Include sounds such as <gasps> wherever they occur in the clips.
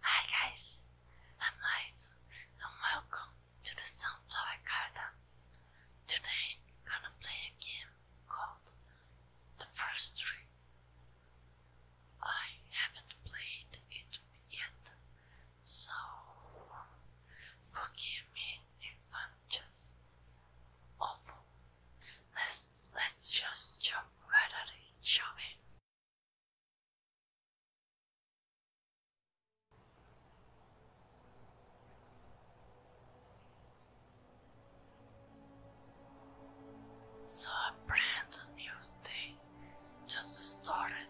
Hi guys, I'm Mice and welcome to the Sunflower Garden. Today I'm gonna play a game called The First Tree. I haven't played it yet, so forgive me if I'm just awful. Let's let's just jump right at it, shall we? So a brand new day just started.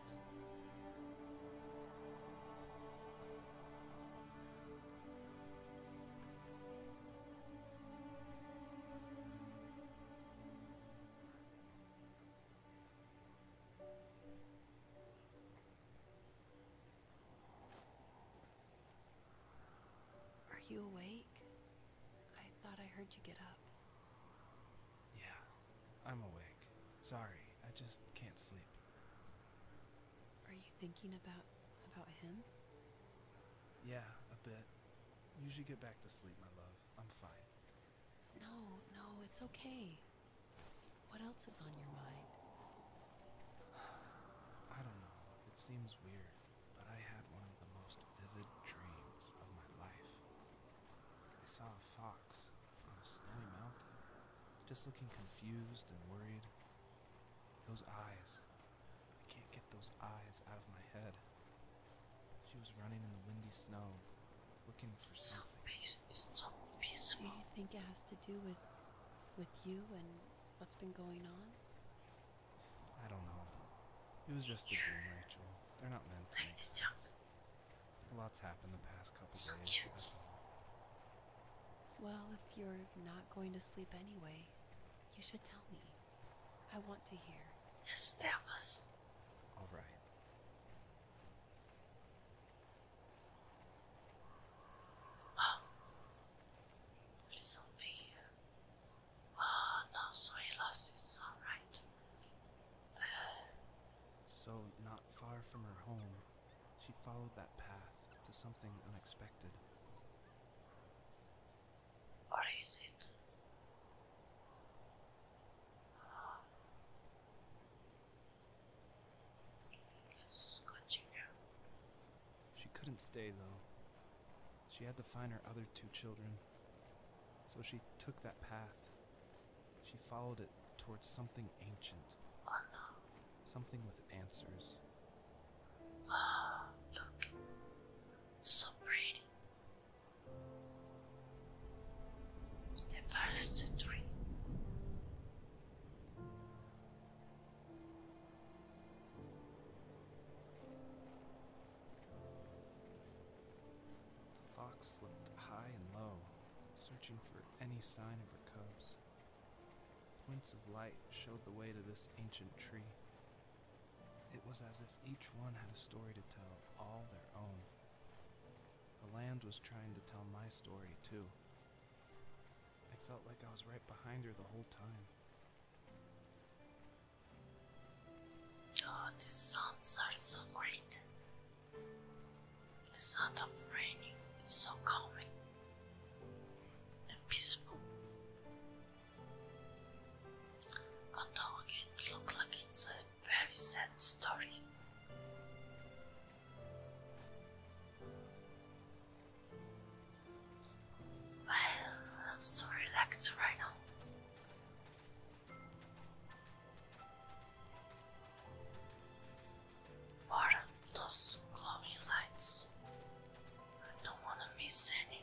Are you awake? I thought I heard you get up. Yeah, I'm awake. Sorry, I just can't sleep. Are you thinking about about him? Yeah, a bit. You should get back to sleep, my love. I'm fine. No, no, it's okay. What else is on your mind? <sighs> I don't know. It seems weird, but I had one of the most vivid dreams of my life. I saw a fox on a snowy mountain, just looking confused and worried. Those eyes. I can't get those eyes out of my head. She was running in the windy snow, looking for something. So so peaceful. Do you think it has to do with, with you and what's been going on? I don't know. It was just a dream, Rachel. They're not meant to be. lot's happened the past couple days. That's all. Well, if you're not going to sleep anyway, you should tell me. I want to hear. Yes, that all right. Oh, <gasps> it's Oh, no, sorry, lost this. All right. <sighs> so, not far from her home, she followed that path to something unexpected or is it? Ah. She couldn't stay though. She had to find her other two children. So she took that path. She followed it towards something ancient. Oh, something with answers. Ah, look. Some reading. The first tree. The fox looked high and low, searching for any sign of her cubs. Points of light showed the way to this ancient tree, it was as if each one had a story to tell, all their own. The land was trying to tell my story, too. I felt like I was right behind her the whole time. Oh, the sounds are so great. The sound of raining is so calming and peaceful. Although it looks like it's very sad story. Well, I'm so relaxed right now. What those glowing lights? I don't want to miss any.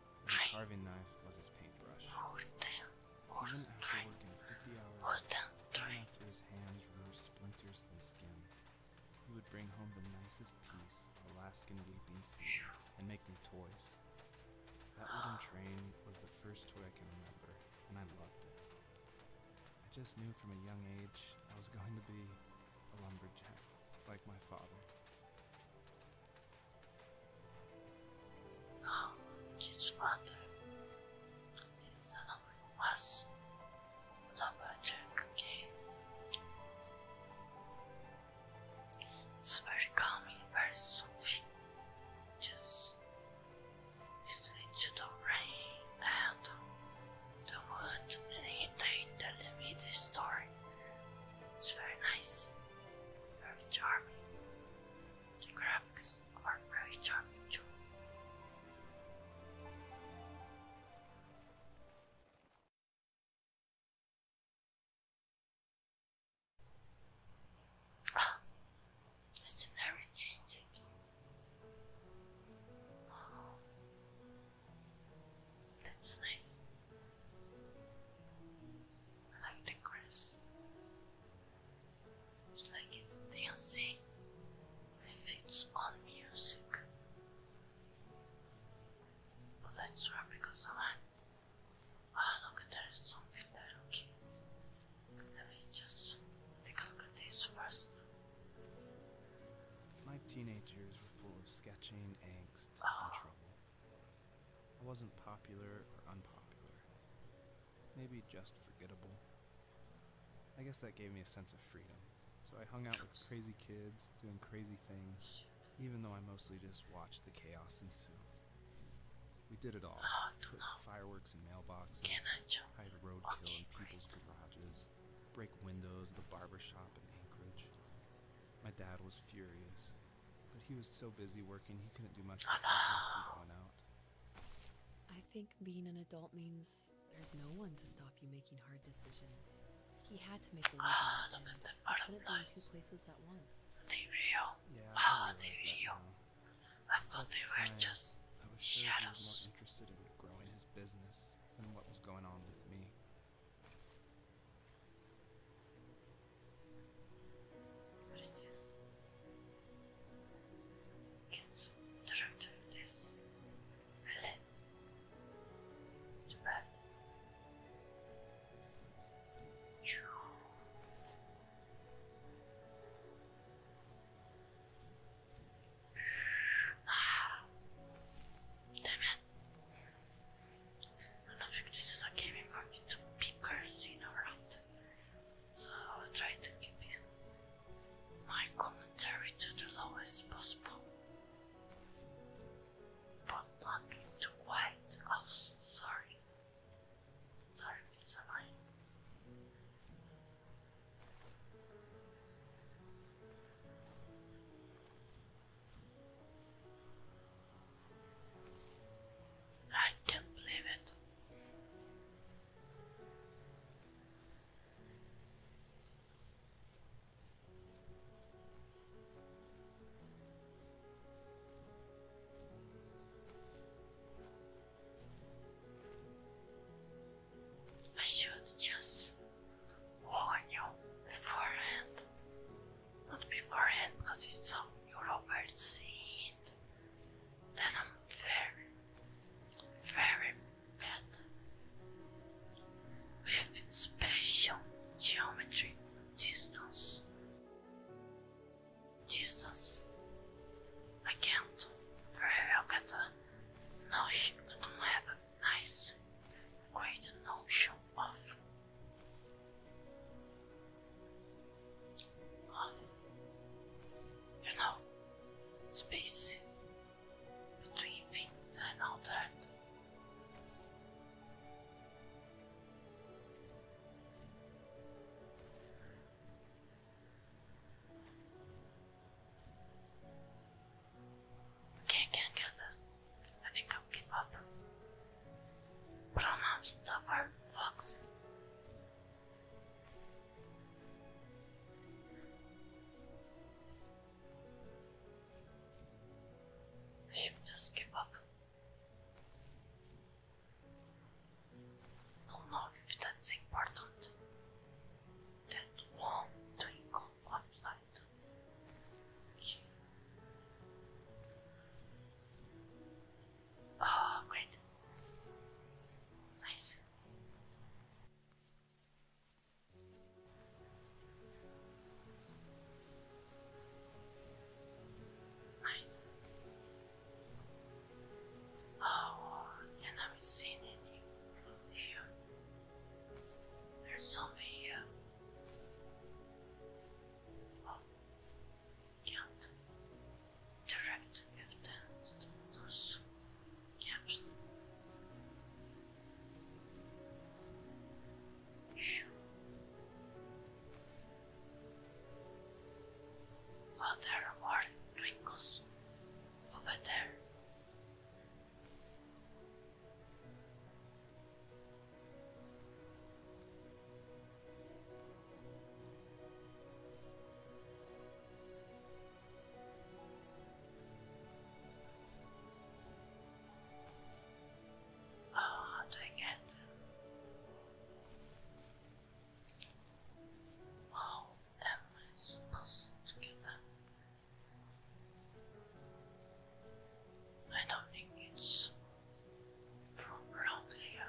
His carving knife was his paintbrush. Even after working 50 hours, after his hands were splinters than skin, he would bring home the nicest piece Alaskan weeping sea and make me toys. That wooden <gasps> train was the first toy I can remember, and I loved it. I just knew from a young age I was going to be a lumberjack, like my father. Um, his father, his number was number check It's very calming, very soothing. Just listening to the rain and the wood and him telling me this story. It's very nice, very charming. The graphics are very charming too. Ah, the scenery changed. Oh, that's nice. I like the grass. It's like it's dancing with its own music. But that's wrong because someone. Ah, oh, look, there is something there, okay. Let me just take a look at this first. My teenage years were full of sketching, angst, and oh. trouble. I wasn't popular or unpopular. Maybe just forgettable. I guess that gave me a sense of freedom. So I hung out with crazy kids, doing crazy things, even though I mostly just watched the chaos ensue. We did it all. Ah, Put fireworks in mailboxes, hide roadkill okay, in people's garages, break windows at the barber shop in Anchorage. My dad was furious. But he was so busy working, he couldn't do much to stop me from going out. I think being an adult means there's no one to stop you making hard decisions. He had to make a living. Ah, look at the butterflies. Couldn't be two places at once. They real. Yeah. Ah, they real. I thought they were time, just I was sure He was more interested in growing his business than what was going on with me. What is this? Get the right of this. Really? Too bad. You. ah. Damn I don't this is a game for me to be cursing around so I will try to keep in my commentary to the lowest possible, but not too quiet. Also, sorry, sorry if it's annoying. I can't believe it. I should just warn you beforehand. Not beforehand, because it's some European scene that I'm very, very bad with spatial geometry, distance, distance. I can't very well get a notion. I don't have a nice, great notion of you know, space between things and all that. I can't get that. I think I'll give up. But I'm stubborn, fox. I should just give up. I don't know if that's important. That warm twinkle of light. Oh, great. Nice. Nice. Oh, you never seen anything here. There's something here. Oh camp direct with those camps. Well, there are twinkles over there. Oh, do I get How am I supposed to get them? I don't think it's from around here.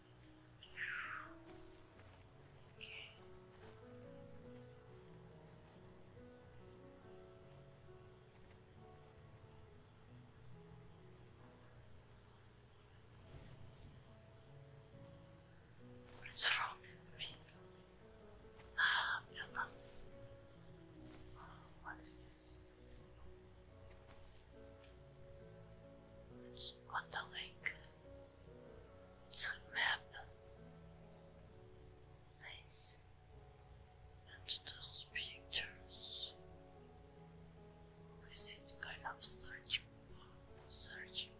What's wrong with me? Ah, what is this? It's what the link? some map. Nice. And those pictures. Is it kind of search? Searching.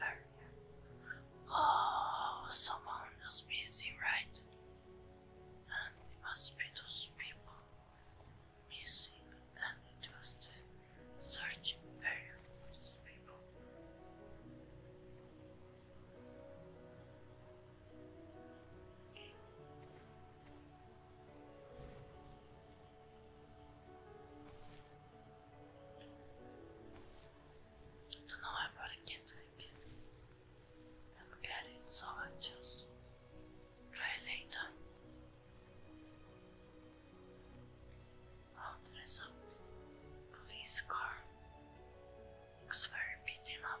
Uh, Oh, someone is busy, right? and the hospital's people missing, and it searching for these people. Don't know about I'm getting so anxious. Try later. Oh, there's police car. Looks very beaten up.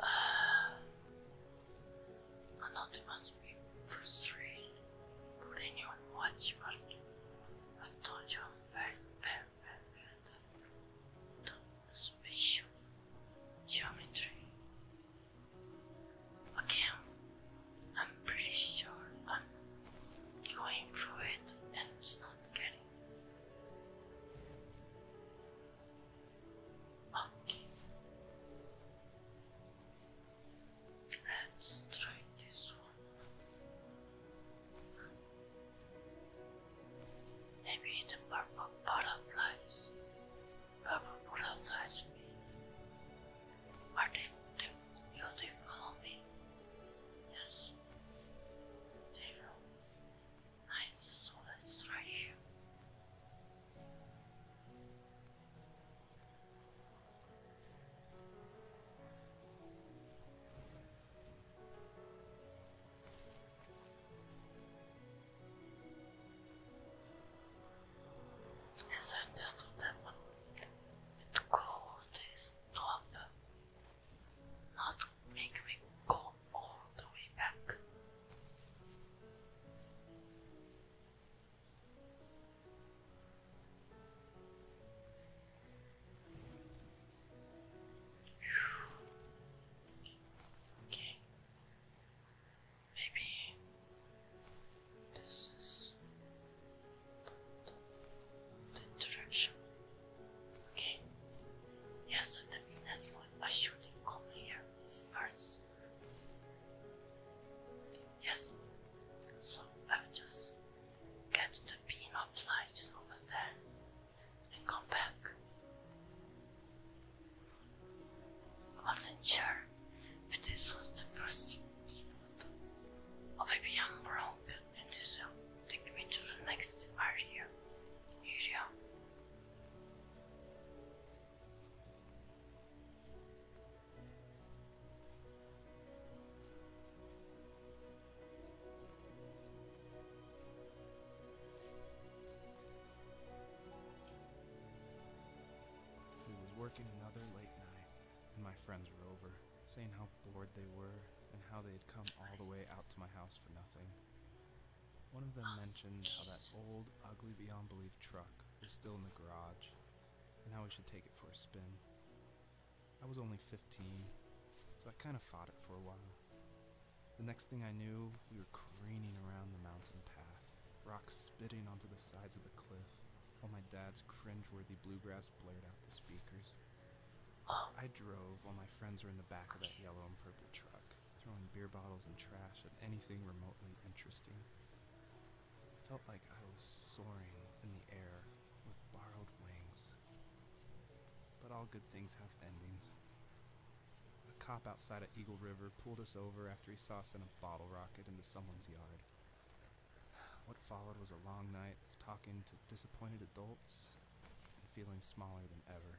Uh, <sighs> I know they must be frustrated. Would anyone watch I've told you i special geometry. Again, I'm pretty sure I'm going through it and it's not getting. Okay. Let's try this one. Maybe a purple butterflies. Purple butterflies mean. Are they, they beautiful me? Yes. They look nice, so let as I understood that what it could is not, not make me go all the way back. Okay. Maybe this is the direction. Okay. Yes, I think that's what I should come here first. Yes. So I just get the beam of light over there and come back. I wasn't sure if this was the first or maybe I'm wrong and this will take me to the next area. area. We was working another late night, and my friends were over, saying how bored they were and how they had come all the way out to my house for nothing. One of them mentioned how that old, ugly beyond belief truck was still in the garage, and how we should take it for a spin. I was only 15, so I kind of fought it for a while. The next thing I knew, we were careening around the mountain path, rocks spitting onto the sides of the cliff, while my dad's cringe-worthy bluegrass blared out the speakers. I drove while my friends were in the back of that yellow and purple truck, throwing beer bottles and trash at anything remotely interesting. It felt like I was soaring in the air with borrowed wings. But all good things have endings. A cop outside of Eagle River pulled us over after he saw us in a bottle rocket into someone's yard. What followed was a long night of talking to disappointed adults and feeling smaller than ever.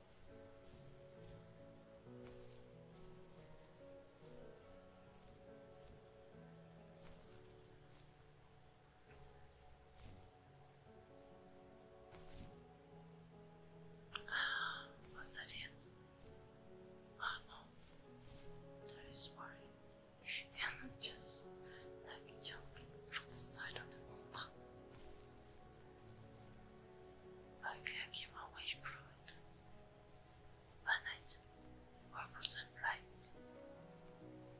Was that it? Oh ah, no, that is why <laughs> I'm just like jumping from the side of the mountain. Like I came away from it bananas or butterflies.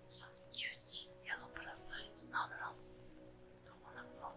Some cute yellow butterflies all around the waterfall.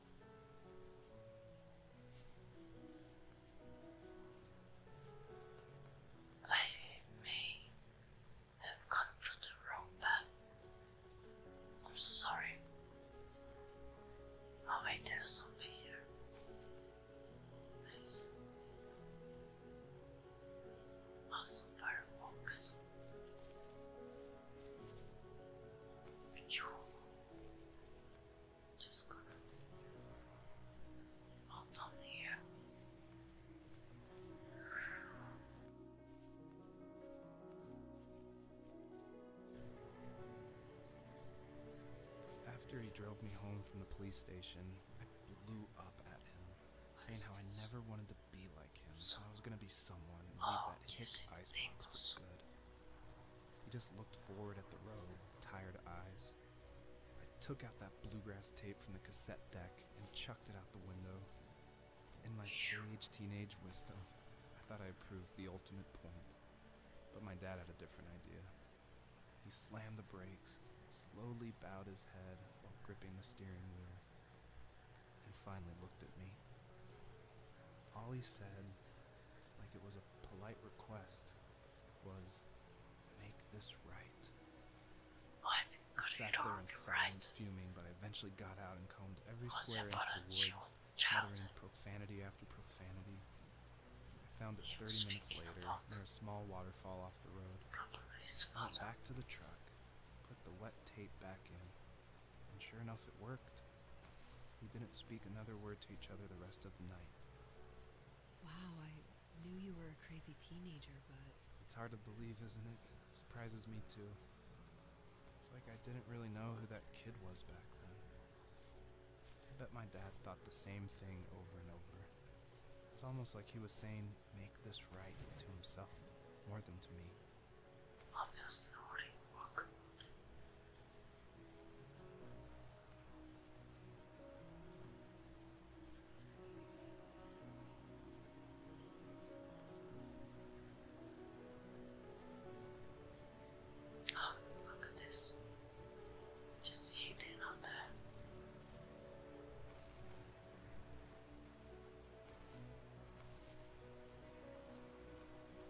I may have gone through the wrong path. I'm so sorry. Oh wait, there's something here. Nice. Oh, fireworks. Achoo. After he drove me home from the police station, I blew up at him, saying how I never wanted to be like him, I was gonna be someone and leave that hick icebox for good. He just looked forward at the road with tired eyes. I took out that bluegrass tape from the cassette deck and chucked it out the window. In my sage teenage wisdom, I thought I proved the ultimate point. But my dad had a different idea. He slammed the brakes, slowly bowed his head while gripping the steering wheel, and finally looked at me. All he said, like it was a polite request was make this right. I haven't sat there in silence, fuming, but I eventually got out and combed every square inch of the woods, muttering profanity after profanity. I found it 30 minutes later near a small waterfall off the road. Went back to the truck, put the wet tape back in, and sure enough it worked. We didn't speak another word to each other the rest of the night. Wow, I knew you were a crazy teenager, but. It's hard to believe, isn't it? surprises me too. It's like I didn't really know who that kid was back then. I bet my dad thought the same thing over and over. It's almost like he was saying, make this right to himself, more than to me. Obviously, work. Oh, look at this. Just hidden on there.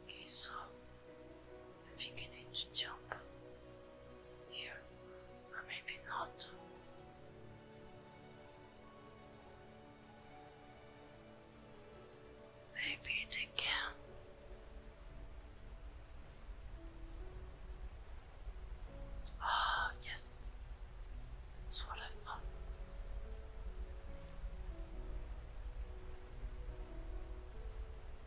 Okay, so I think I need to jump here, or maybe not. Maybe they Ah, yes, that's what I thought. <sighs> Oh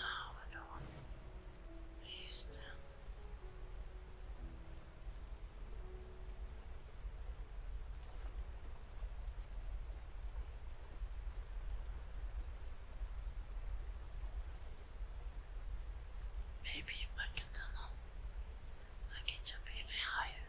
my God. Please tell Maybe if I can turn I can jump even higher.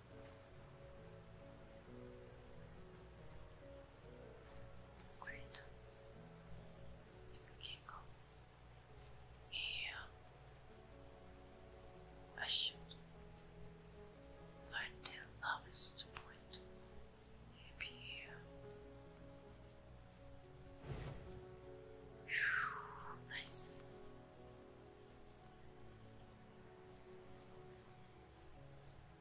Great. We here. I should find the lowest point. Maybe here. nice.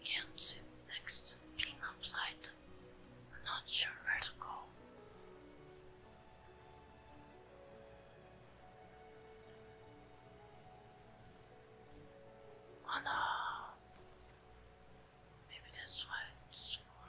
We can't see the next to of light. I'm not sure where to go. Oh no! Maybe that's why it's for.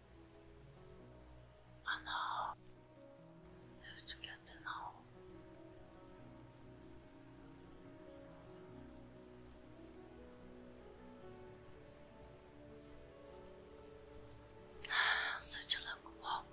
I know. You have get to know. <sighs> Such a long walk.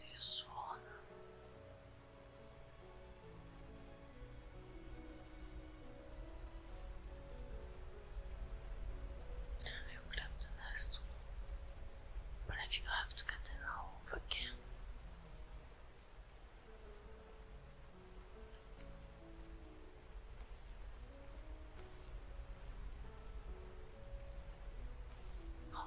this one. I will grab the next one, but I think I have to get it again. Oh,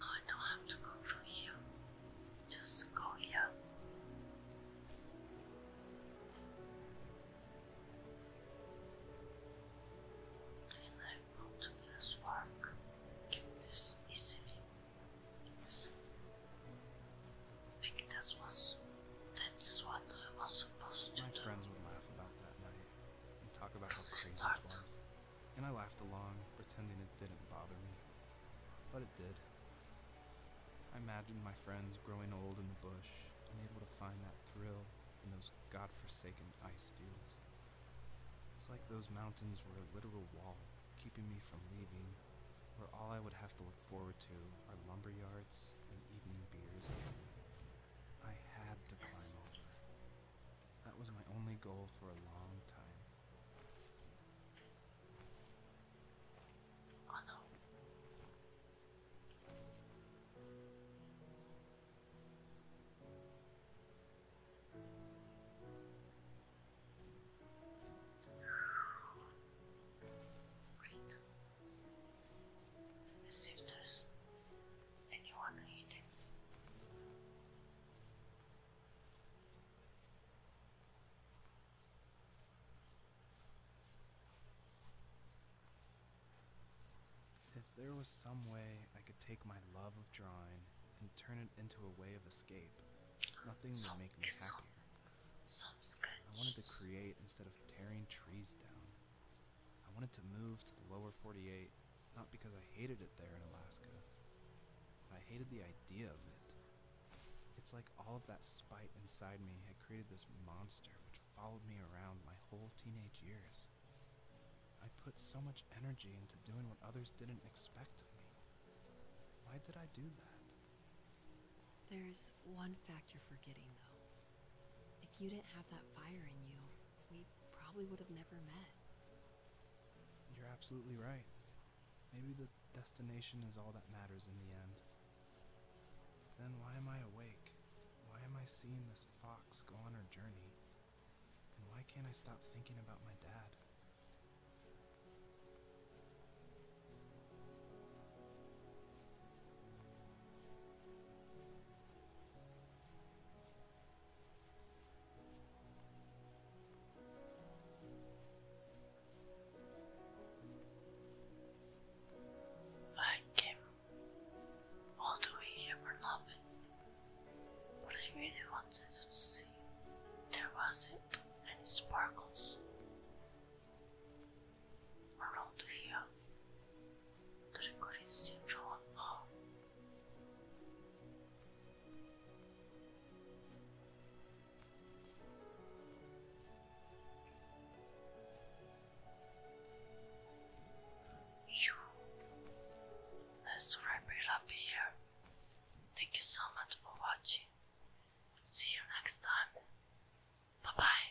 I don't have to go through here. Just go here. And I fall to this work. Get this I think that was that's what I was supposed to do. My friends would laugh about that and talk about how crazy it was. And I laughed along, pretending it didn't bother me. But it did. I imagined my friends growing old in the bush, unable to find that thrill in those godforsaken ice fields. It's like those mountains were a literal wall keeping me from leaving, where all I would have to look forward to are lumber yards and evening beers. I had to climb over. That was my only goal for a long time. Oh no. Great. Let's do this. If there was some way I could take my love of drawing and turn it into a way of escape, nothing would make me happier. Some, some I wanted to create instead of tearing trees down. I wanted to move to the lower 48, not because I hated it there in Alaska, I hated the idea of it. It's like all of that spite inside me had created this monster which followed me around my whole teenage years. I put so much energy into doing what others didn't expect of me. Why did I do that? There's one fact you're forgetting, though. If you didn't have that fire in you, we probably would have never met. You're absolutely right. Maybe the destination is all that matters in the end. Then why am I awake? Why am I seeing this fox go on her journey? And why can't I stop thinking about my dad? I came all the way here for nothing, but I really wanted to see there wasn't any sparkles around here. You, let's wrap it up here. Thank you so much for watching. See you next time. Bye bye.